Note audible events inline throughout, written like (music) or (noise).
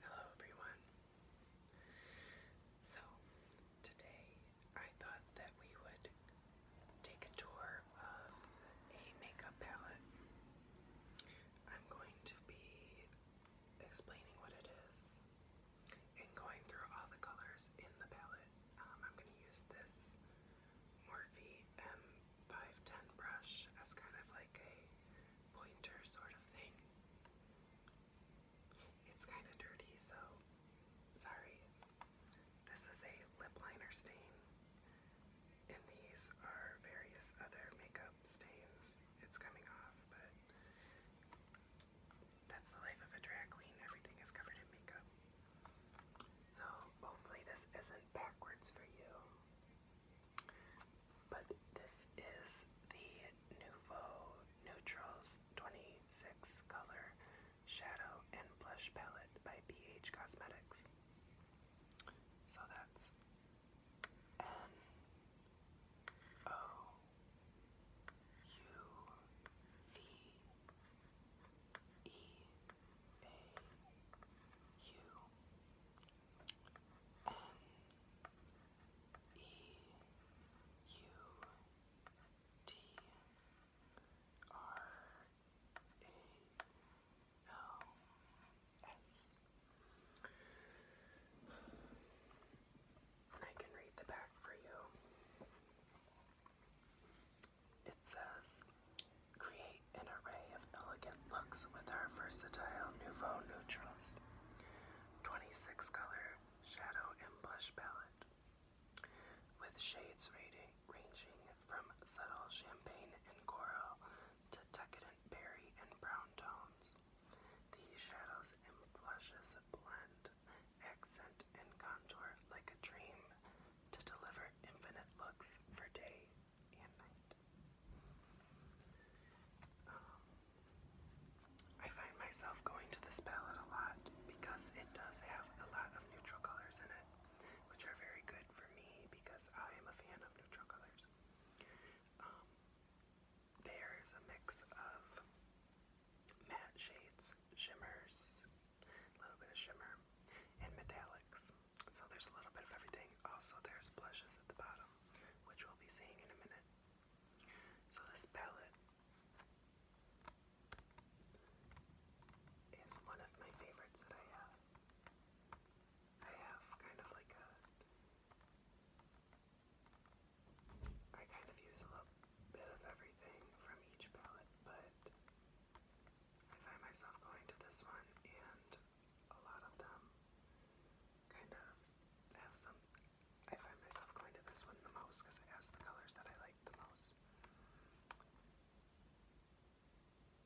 Hello everyone. So, today I thought that we would take a tour of a makeup palette. I'm going to be explaining what it is and going through all the colors in the palette. Um, I'm going to use this Morphe M510 brush as kind of like a pointer sort of thing. It's kind of dirty, so sorry. This is a lip liner stain, and these are various other makeup stains. It's coming off, but that's the life of a drag queen. Everything is covered in makeup. So hopefully this isn't backwards for you. But this is the Nouveau Neutrals 26 Color Shadow and Blush Palette by BH Cosmetics. So that's N O U V E A U N E U D R A L S. I can read the back for you. It says, create an array of elegant looks with our versatile Nouveau Neutrals 26 color shadow and blush palette with shades ranging from subtle champagne and coral to decadent berry and brown tones. These shadows and blushes blend, accent, and contour like a dream to deliver infinite looks for day. I find myself going to this palette a lot because it does have a lot of neutral colors in it, which are very good for me because I am a fan of neutral colors. Um, there's a mix of matte shades, shimmers, a little bit of shimmer, and metallics. So there's a little bit of everything. Also, there's blushes at the bottom, which we'll be seeing in a minute. So this palette is one of my favorites that I have. I have kind of like a I kind of use a little bit of everything from each palette, but I find myself going to this one and a lot of them kind of have some. I find myself going to this one the most because it has the colors that I like the most.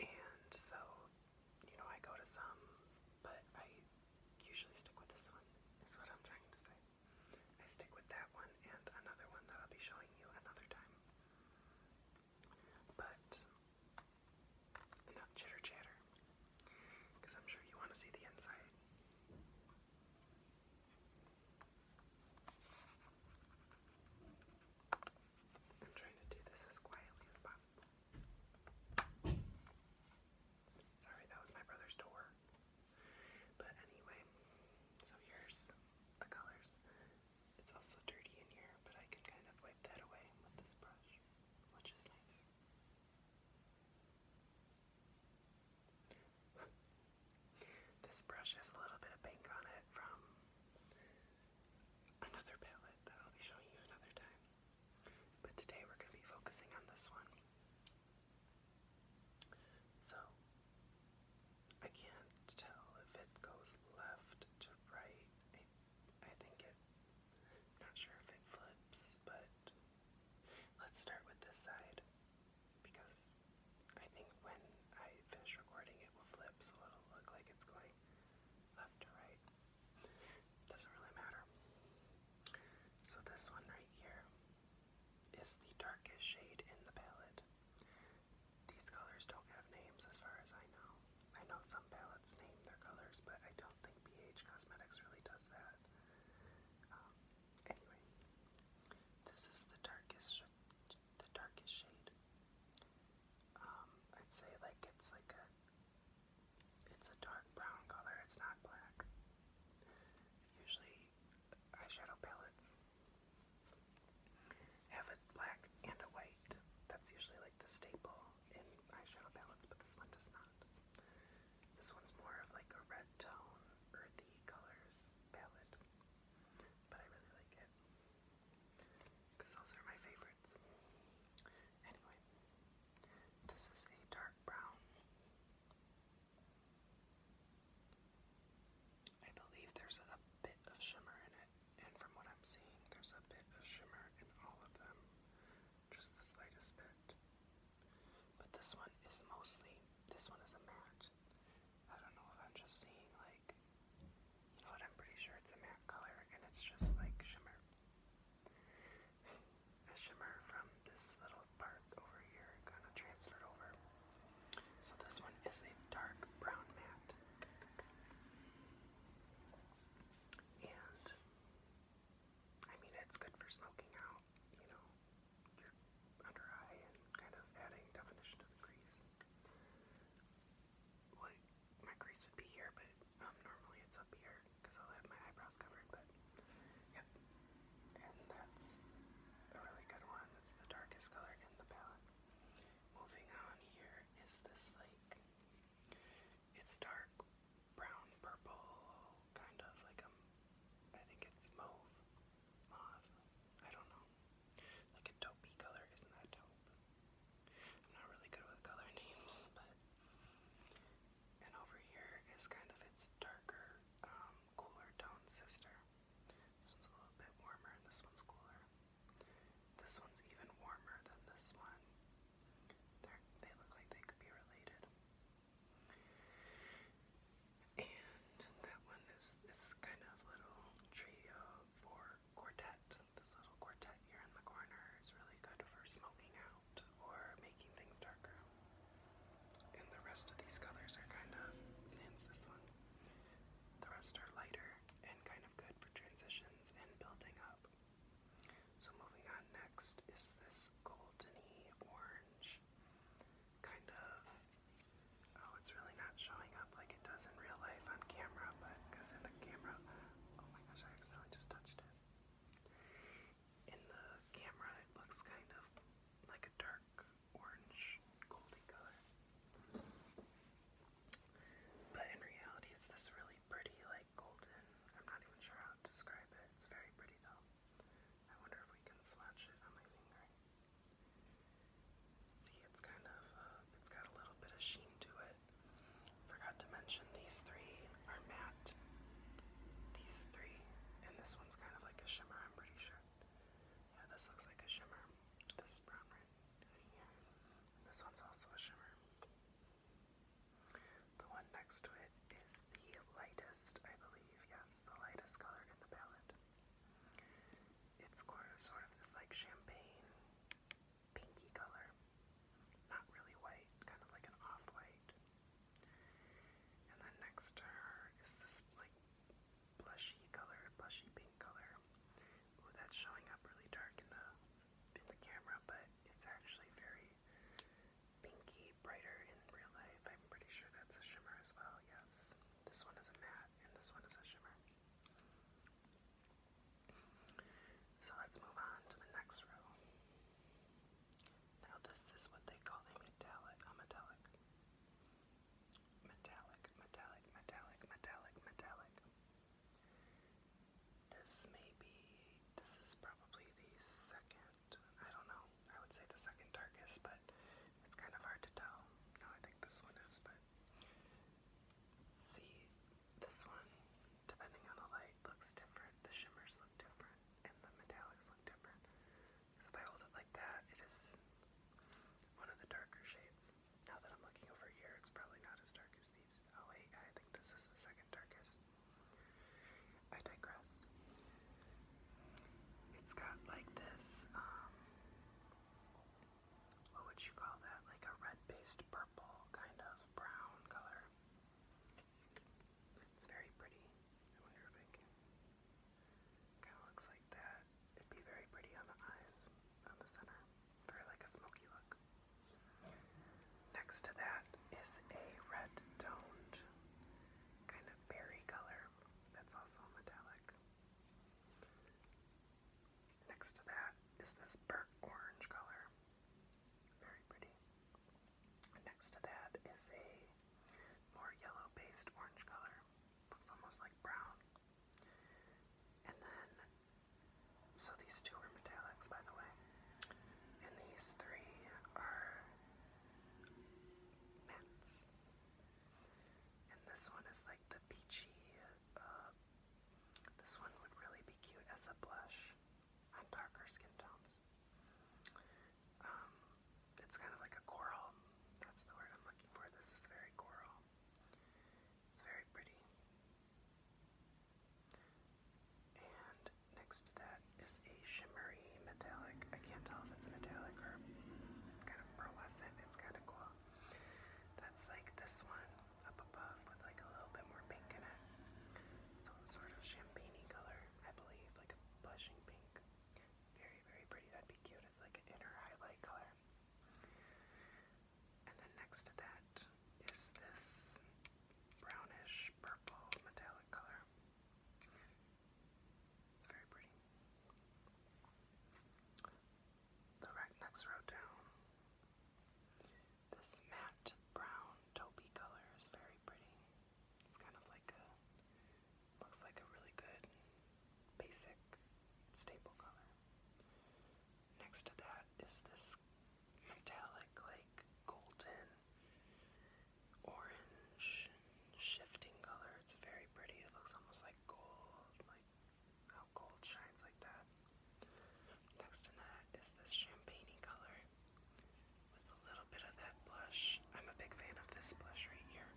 And so, you know, I go to some, but I usually stick with this one, is what I'm trying to say. I stick with that one and another one that I'll be showing you another time. But Enough chitter chatter, because I'm sure you want to see the inside. I'm trying to do this as quietly as possible. Sorry, that was my brother's door. But anyway, so here's the colors. It's also dirty in here, but I can kind of wipe that away with this brush. (laughs) this brush has a little bit of pink on it from another palette that I'll be showing you another time. But today we're going to be focusing on this one. So, I can't tell if it goes left to right I think it, not sure if it flips, but let's start with this side because I think when I finish recording it will flip so it'll look like it's going left to right. Doesn't really matter. So this one right here is the darkest shade in the palette. These colors don't have names as far as I know. I know some palettes name their colors, but I don't think BH Cosmetics really does that. Um, anyway, this is the darkest, the darkest shade. Um, I'd say like it's like a, it's a dark brown color. It's not black. Usually, eyeshadow palettes have a black and a white. That's usually like the staple eyeshadow palettes, but this one does not. This one's more of like a red tone, earthy colors palette, but I really like it because those are my favorites. Anyway, this is a dark brown. I believe there's a bit of shimmer in it and from what I'm seeing, there's a bit of shimmer in all of them, just the slightest bit. But this one is mostly, this one is a matte. I don't know if I'm just seeing like, you know what, I'm pretty sure it's a matte color and it's just like shimmer. A shimmer from this little part over here kind of transferred over. So this one is a dark brown matte. And I mean, it's good for smoking out, you know, your under eye and kind of adding definition to the crease. my crease would be here, but um, normally it's up here because I'll have my eyebrows covered. But yep, and that's a really good one. It's the darkest color in the palette. Moving on, here is this like it's dark brown purple, kind of like a, I think it's mauve, mauve, I don't know, like a taupey color, isn't that taupe? I'm not really good with color (laughs) names, but, and over here is kind of its darker, um, cooler toned sister. This one's a little bit warmer, and this one's cooler. This one's even warmer than this one. they look like they could be related. And that one is this kind of little trio for quartet. This little quartet here in the corner is really good for smoking out or making things darker. And the rest of these colors are kind of, sans this one, the rest are lighter and kind of good for transitions and building up. So moving on next is this goldeny orange kind of oh it's really not showing up like it does in real life on camera but because in the camera oh my gosh I accidentally just touched it. In the camera it looks kind of like a dark orange goldy color. But in reality, it's this really pretty, like golden. I'm not even sure how to describe it. It's very pretty though. I wonder if we can swatch it on my finger. See, it's kind of, uh, it's got a little bit of sheen to it. Forgot to mention these three are matte. These three, and this one's kind of like a shimmer, I'm pretty sure. Yeah, this looks like a shimmer. This brown right this one's also a shimmer. The one next to it is the lightest, I believe. Yes, the lightest color in the palette. It's sort of this like champagne pinky color. Not really white, kind of like an off-white. And then next to her is this like blushy color, blushy pink color. Ooh, that's showing up really dark in the in the camera, but it's actually very pinky, brighter in real life. I'm pretty sure that's a shimmer as well. Yes, this one is a matte, and this one is a shimmer. So let's move on to the next row. Now this is what they call a a metallic. Metallic, metallic, metallic, metallic, metallic. This may be, this is probably the second, I don't know, I would say the second darkest, but it's kind of hard to tell. No, I think this one is, but see, this one, depending on the light, looks different. The shimmers look different, and the metallics look different. So if I hold it like that, it is one of the darker shades guess. Now that I'm looking over here, it's probably not as dark as these. Oh wait, I think this is the second darkest. I digress. It's got like this, um, what would you call that? Like a red-based purple kind of brown color. It's very pretty. I wonder if I can. Kind of looks like that it'd be very pretty on the eyes, on the center, for like a smoky look. Next to that is a red toned kind of berry color that's also metallic. Next to that is this burnt orange color. Very pretty. Next to that is a more yellow based orange color. Looks almost like brown. And then, so these two are metallics, by the way. And these three are mattes. And this one is like the peachy, uh, this one would really be cute as a blush on darker skin tones. Um, it's kind of like a coral. That's the word I'm looking for. This is very coral. It's very pretty. And next to that is a shimmery metallic. I can't tell if it's metallic or it's kind of pearlescent. It's kind of cool. That's like this one up above with like a little bit more pink in it. sort of champagne color, I believe, like a blushing pink. Very, very pretty. That'd be cute. It's like an inner highlight color. And then next to that is this brownish purple metallic color. It's very pretty. The right next row down, this matte brown taupey color is very pretty. It's kind of like a, looks like a really good basic staple color. Next to that is this metallic, like golden, orange, shifting color. It's very pretty. It looks almost like gold, like how gold shines like that. Next to that is this champagne color with a little bit of that blush. I'm a big fan of this blush right here,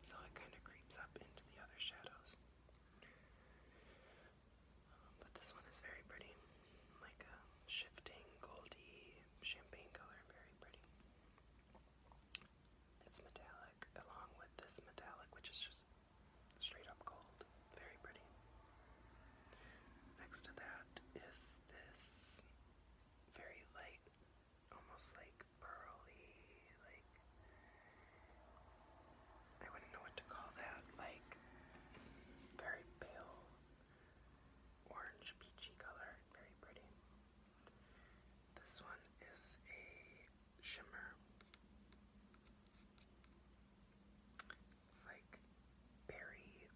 so it kind of creeps up into the other shadows but this one is very pretty, like a shifting goldy champagne color, very pretty. It's metallic, along with this metallic, which is just straight up gold, very pretty. Next to that is this very light, almost like pearly, like I wouldn't know what to call that, like very pale orange peachy color, very pretty. This one is a shimmer. It's like berry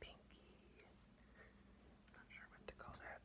pinky. Not sure what to call that.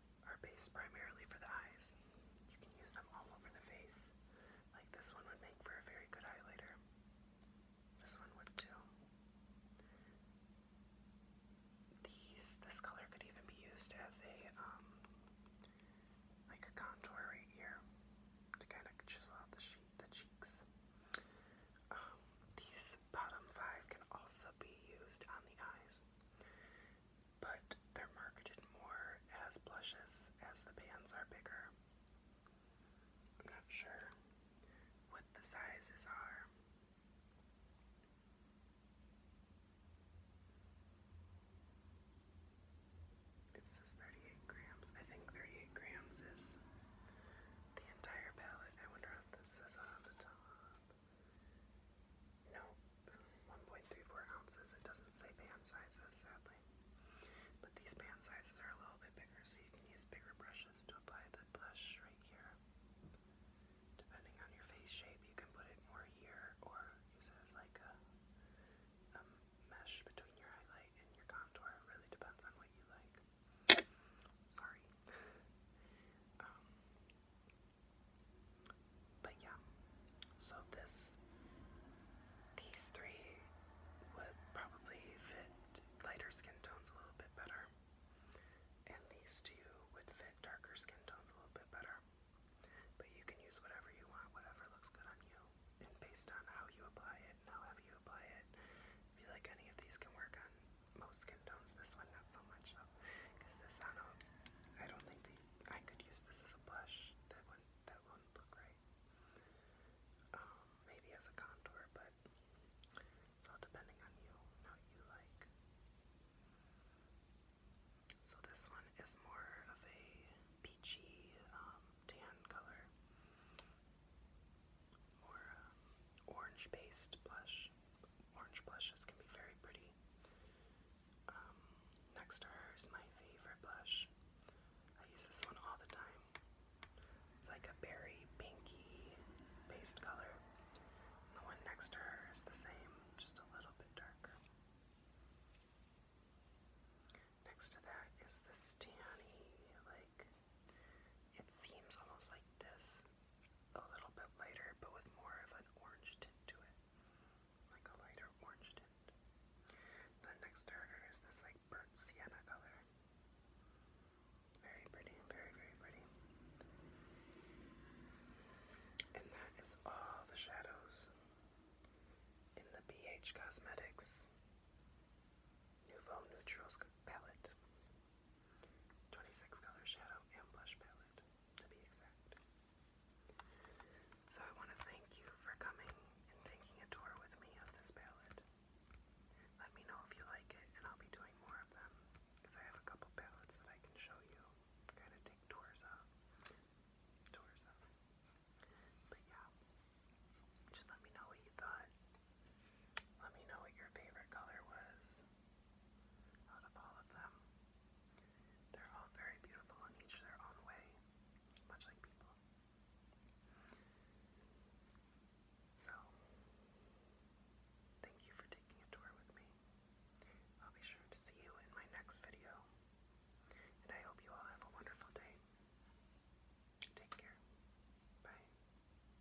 are based primarily for the eyes. You can use them all over the face. Like this one would make for a very good highlighter. This one would too. These, this color could even be used as a, um, like a contour right here to kind of chisel out the, sheet, the cheeks. Um, these bottom five can also be used on the eyes, but they're marketed more as blushes as the bands are bigger. I'm not sure what the sizes are. It says 38 grams. I think 38 grams is the entire palette. I wonder if this is on the top. No, 1.34 ounces. It doesn't say pan sizes, sadly. But these pan sizes are a little bit bigger, so you can use bigger brushes to apply the blush right here. Depending on your face shape, you can put it more here or use it as like a, mesh between your highlight and your contour. It really depends on what you like. Sorry. Um, but yeah, so this, these three would probably fit lighter skin tones a little bit better, and these two would fit darker skin tones a little bit better. But you can use whatever you want, whatever looks good on you, and based on how you apply it and how heavy you apply it, I feel like any of these can work on most skin tones. This one, not so much though, because this I don't, I don't think they, I could use this as a blush. That one, that wouldn't look right. Um, maybe as a contour, but it's all depending on you and what you like. So this one is more of a peachy um, tan color or um, orange-based blush. Orange blushes can be very pretty. Um, next to her is my favorite blush. I use this one all the time. It's like a berry pinky based color. the one next to her is the same, just a little bit darker. Next to that is this tanny, like it seems almost like this a little bit lighter, but with more of an orange tint to it. Like a lighter orange tint. The next starter is this like burnt sienna color. Very pretty, very, very pretty. And that is all the shadows in the BH Cosmetics Nouveau Neutrals palette. 26 color shadow and blush palette, to be exact. So I want to thank you for coming and taking a tour with me of this palette. Let me know if you like it, and I'll be doing more of them, because I have a couple palettes that I can show you, kind of take tours of. Tours of. But yeah, just let me know what you thought. Let me know what your favorite color was out of all of them. They're all very beautiful in each their own way, much like people. So, thank you for taking a tour with me. I'll be sure to see you in my next video. And I hope you all have a wonderful day. Take care. Bye.